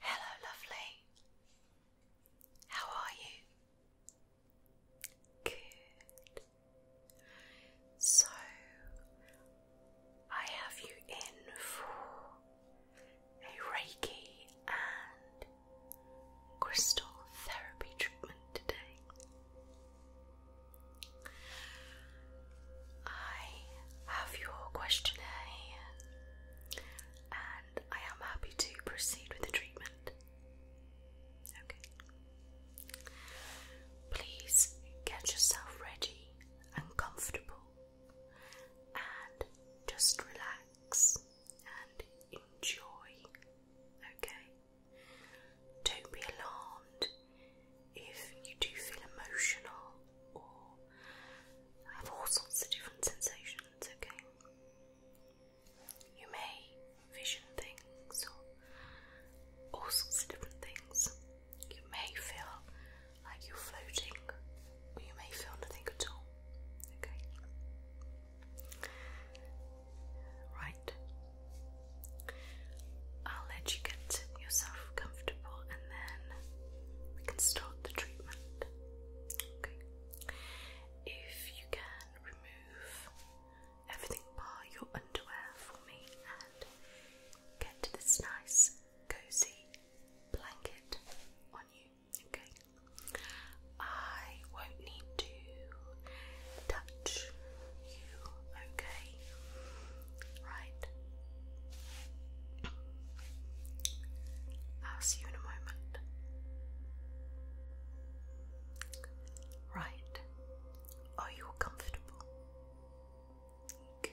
Hello, lovely. How are you? Good. So I have you in for a Reiki and crystal therapy treatment today. I have your questionnaire and I am happy to proceed with the treatment. Okay. Please get yourself ready and comfortable and just relax and enjoy. Okay? Don't be alarmed if you do feel emotional or have all sorts of different sensations, okay? You may vision things or all sorts of different things. You may feel like you're floating, or you may feel nothing at all. Okay? Right. I'll let you get yourself comfortable and then we can start the treatment. Okay? If you can remove everything bar your underwear for me and get to this nice cozy blanket on you okay? I won't need to touch you, okay? Right. I'll see you in a moment. Right. Are you comfortable? Good.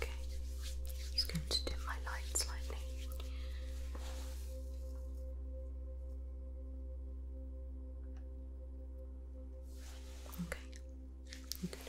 Okay, just going to dim my light slightly. Okay, Okay.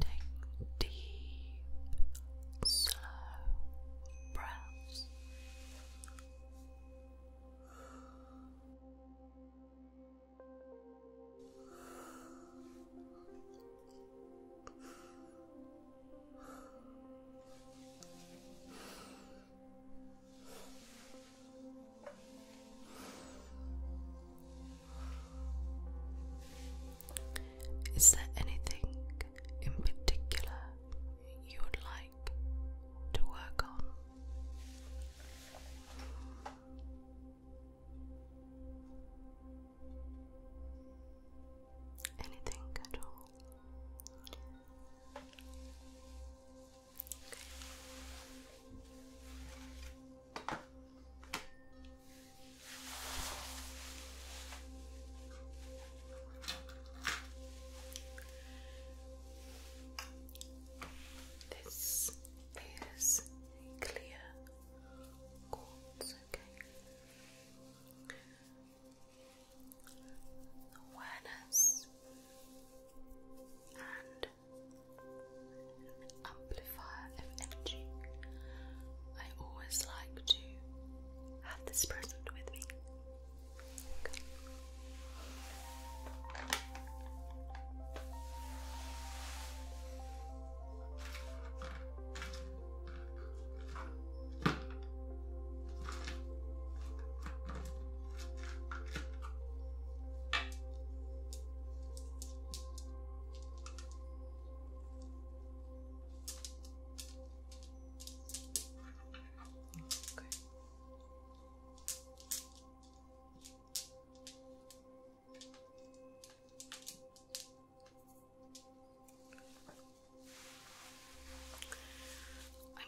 Take deep, slow breaths. Is there anything in particular you would like to work on? Anything at all? Okay. This is clear quartz, okay. Awareness and amplifier of energy. I always like to have this present with me. Okay. I'm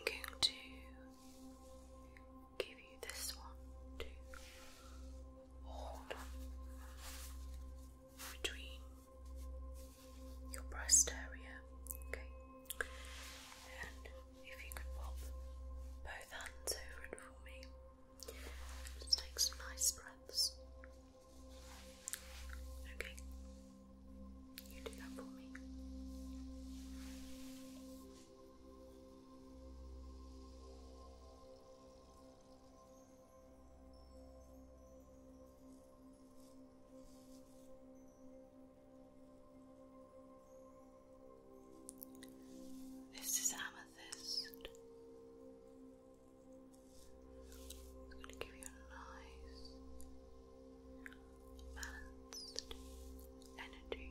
going to give you this one hold between your breast area, okay? And if you could pop both hands over it for me, just take some nice breaths. Okay, you do that for me. This is amethyst. It's going to give you a nice, balanced energy.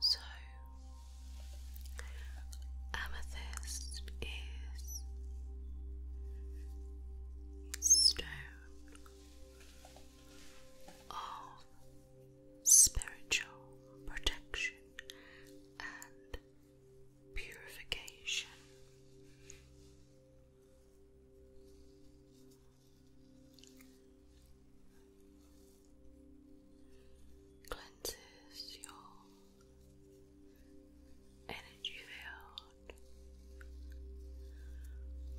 So, amethyst is stone of spiritual protection and purification cleanses your energy field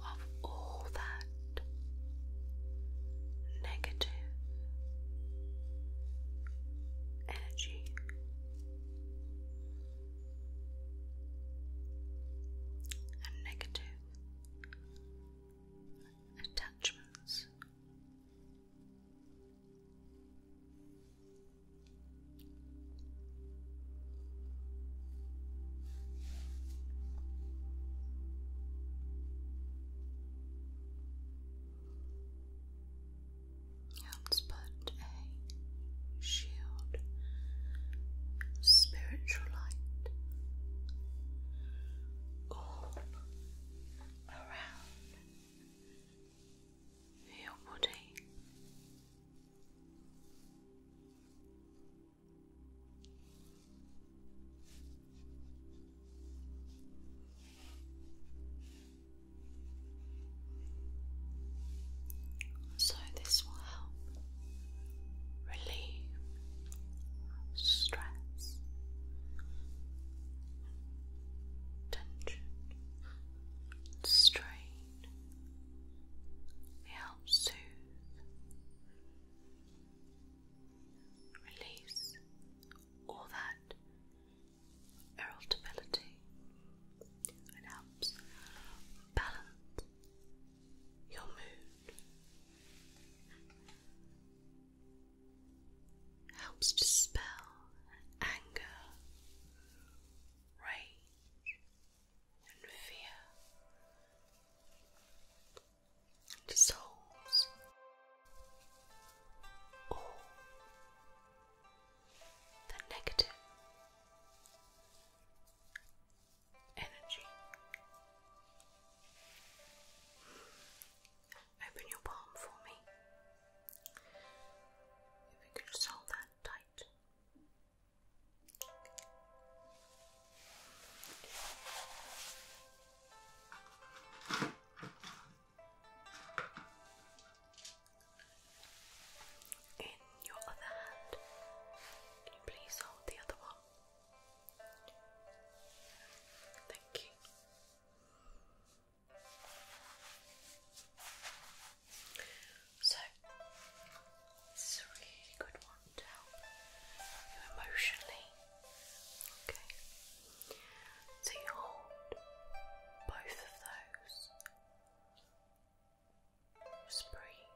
of all that negative energy. And negative attachments let put a shield of spiritual light all around your body. So, this will help relieve stress tension, strain. They help soothe, release all that irritability, and helps balance your mood helps dispel anger, rage, and fear, and dissolves all the negative energy. Open your palm for me. If you could hold that tight. In your other hand, can you please hold the other one? Thank you. So, this is a really good one to help you emotionally. Okay, so you hold both of those. Just breathe.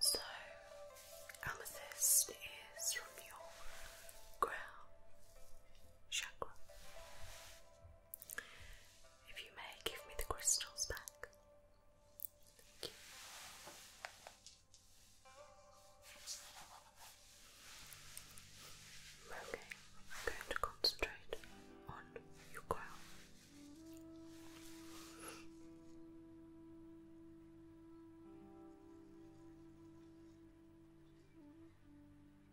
So, amethyst is from your crown chakra. If you may, give me the crystals back. Thank you. Okay, I'm going to concentrate on your crown.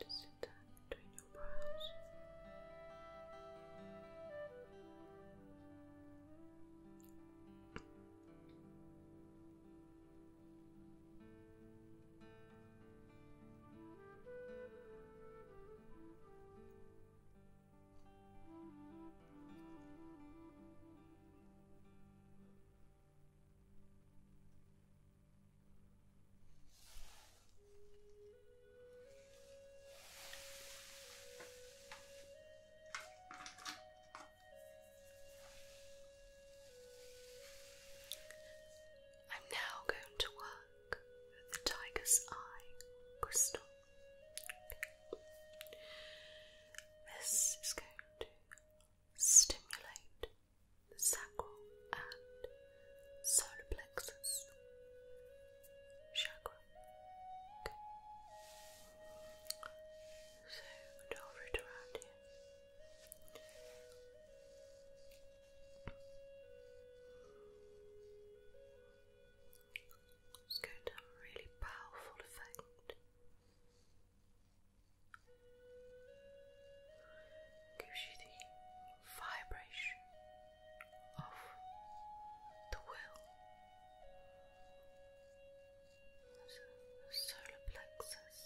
Good, sit down between your brows. I'm now going to work with the tiger's eye crystal. This is going to stimulate the sacral and solar plexus chakra. Okay. So we'll over it around here. It's going to have a really powerful effect. Gives you the vibration of the will, the solar plexus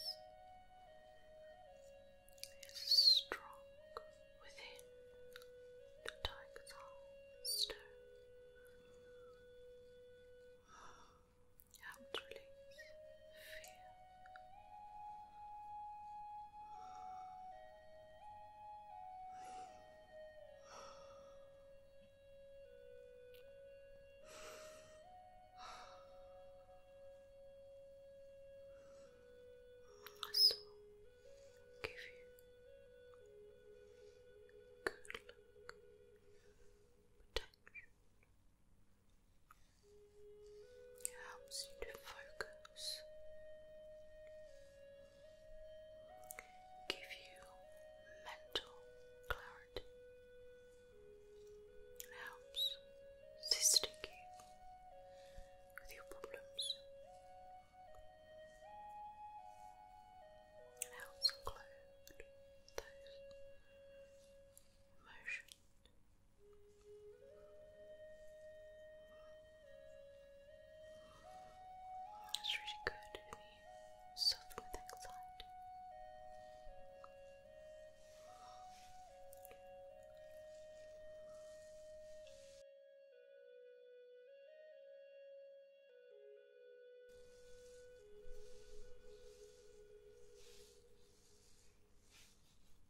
is strong within the tiger's eye Help release fear. So give you good luck, protection. It helps you to focus give you mental clarity. helps assisting you with your problems. helps include those emotions that's really good when you soothe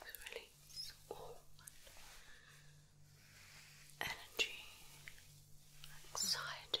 It's really small energy, anxiety.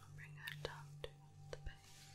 I'll bring her down to the base.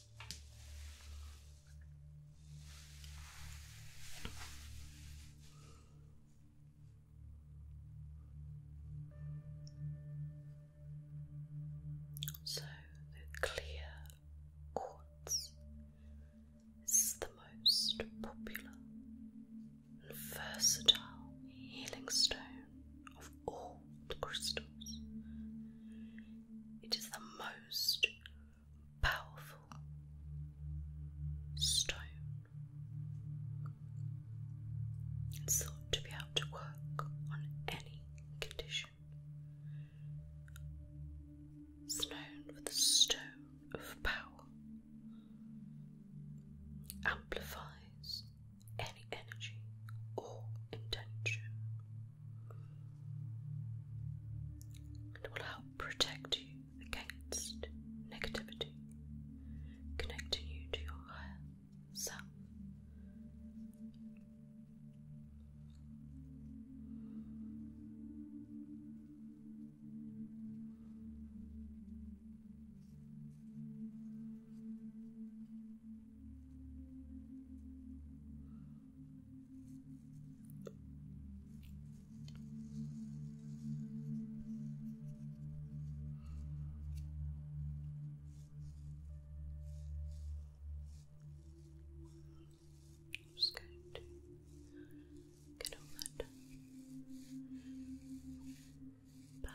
So the clear quartz is the most popular and versatile healing stone of all the crystals. It is the most powerful stone. It's thought to be able to work on any condition. It's known for the stone of power. Amplifies energy or intention. It will help protect you against negativity, connecting you to your higher self. I'm just going to get all that power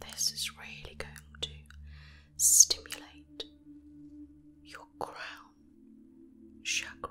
This is really going to stimulate your crown chakra.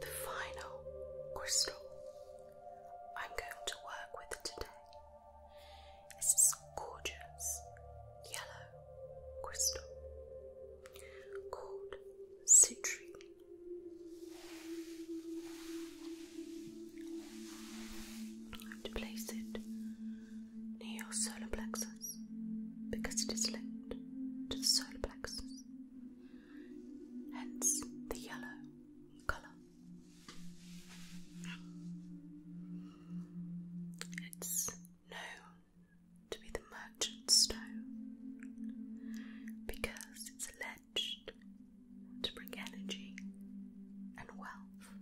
The final crystal I'm going to work with today is this gorgeous yellow crystal called citrine. I have to place it near your solar plexus because it is linked to the solar plexus hence the yellow colour. It's known to be the merchant stone because it's alleged to bring energy and wealth.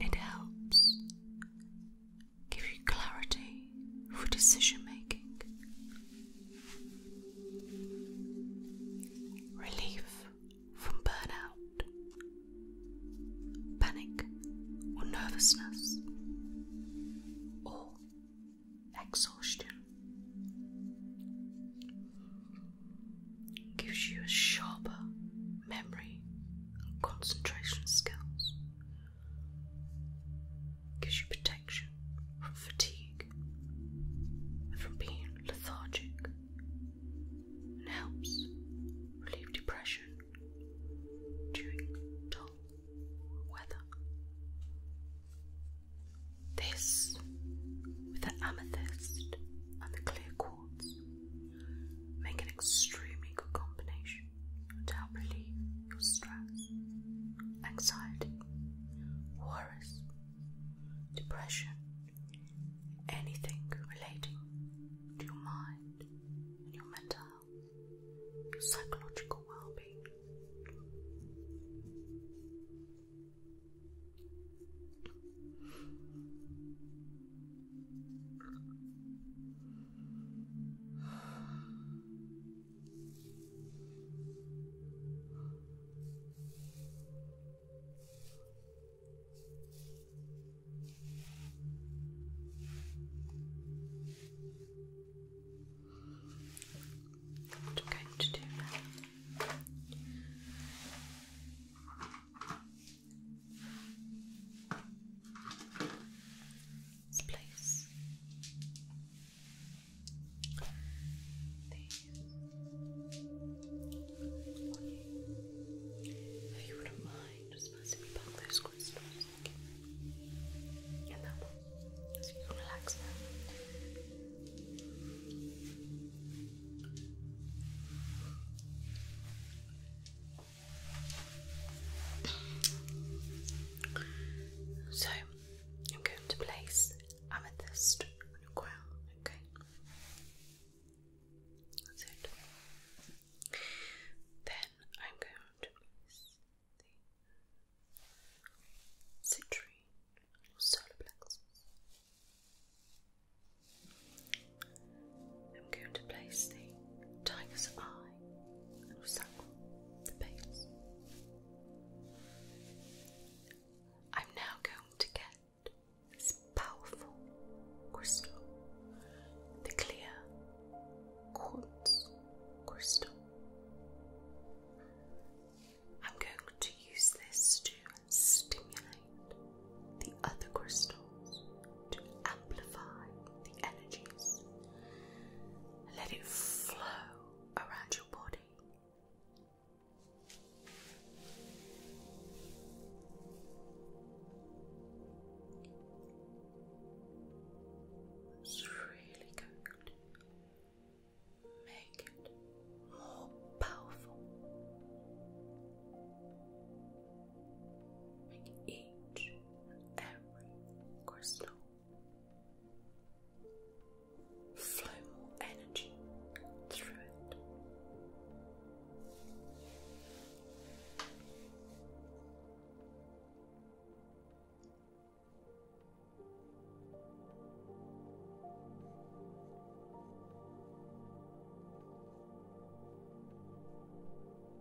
It helps give you clarity for decision making, relief from burnout, panic or nervousness, or exhaustion. Gives you a sharper memory concentration skills. Gives you protection from fatigue and from being lethargic, and helps relieve depression during dull weather. This, with the amethyst and the clear quartz, make an extremely good combination much to help relieve your stress, anxiety, worries, depression, anything relating to your mind and your mental health, your psychological well being. What I'm going to do now this If you wouldn't mind just passing me back those crystals, thank you. And that one. relax so I'm going to place amethyst on your crown, okay? That's it. Then I'm going to place the citrine or solar I'm going to place the tiger's eye and circle the base. I'm now going to get this powerful crystal, the clear quartz crystal. I'm going to use this to stimulate the other crystals to amplify the energies. Let it flow around your body. It's really good. Make it more powerful. Make each and every crystal. Flow more energy through it.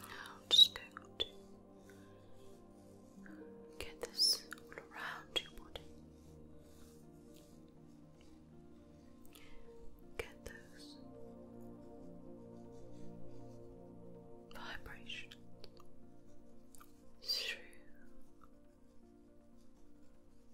I'm just going to get this all around your body. Get those vibrations through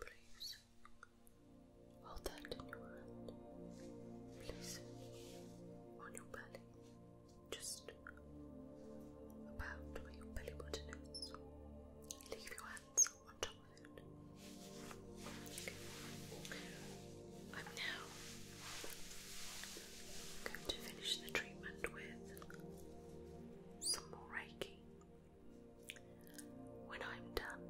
Please hold that in your hand. Place it on your belly, just about where your belly button is. Leave your hands on top of it. I'm now going to finish the treatment with some more Reiki. When I'm done,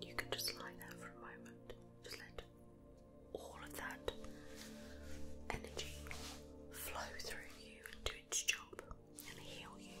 you can just lie there for a moment. Just let all of that energy flow through you and do its job and heal you.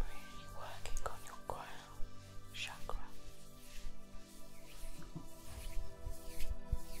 Really working on your crown chakra. Your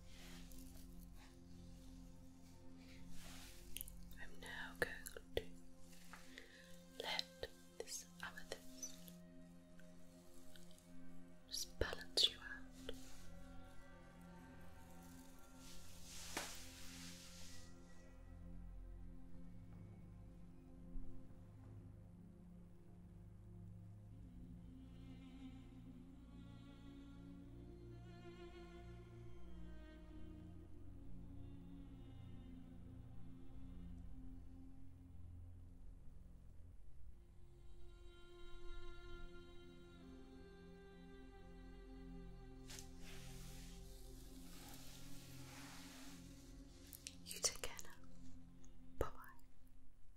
I'm now going to let this amethyst just balance you out. You take care Bye bye.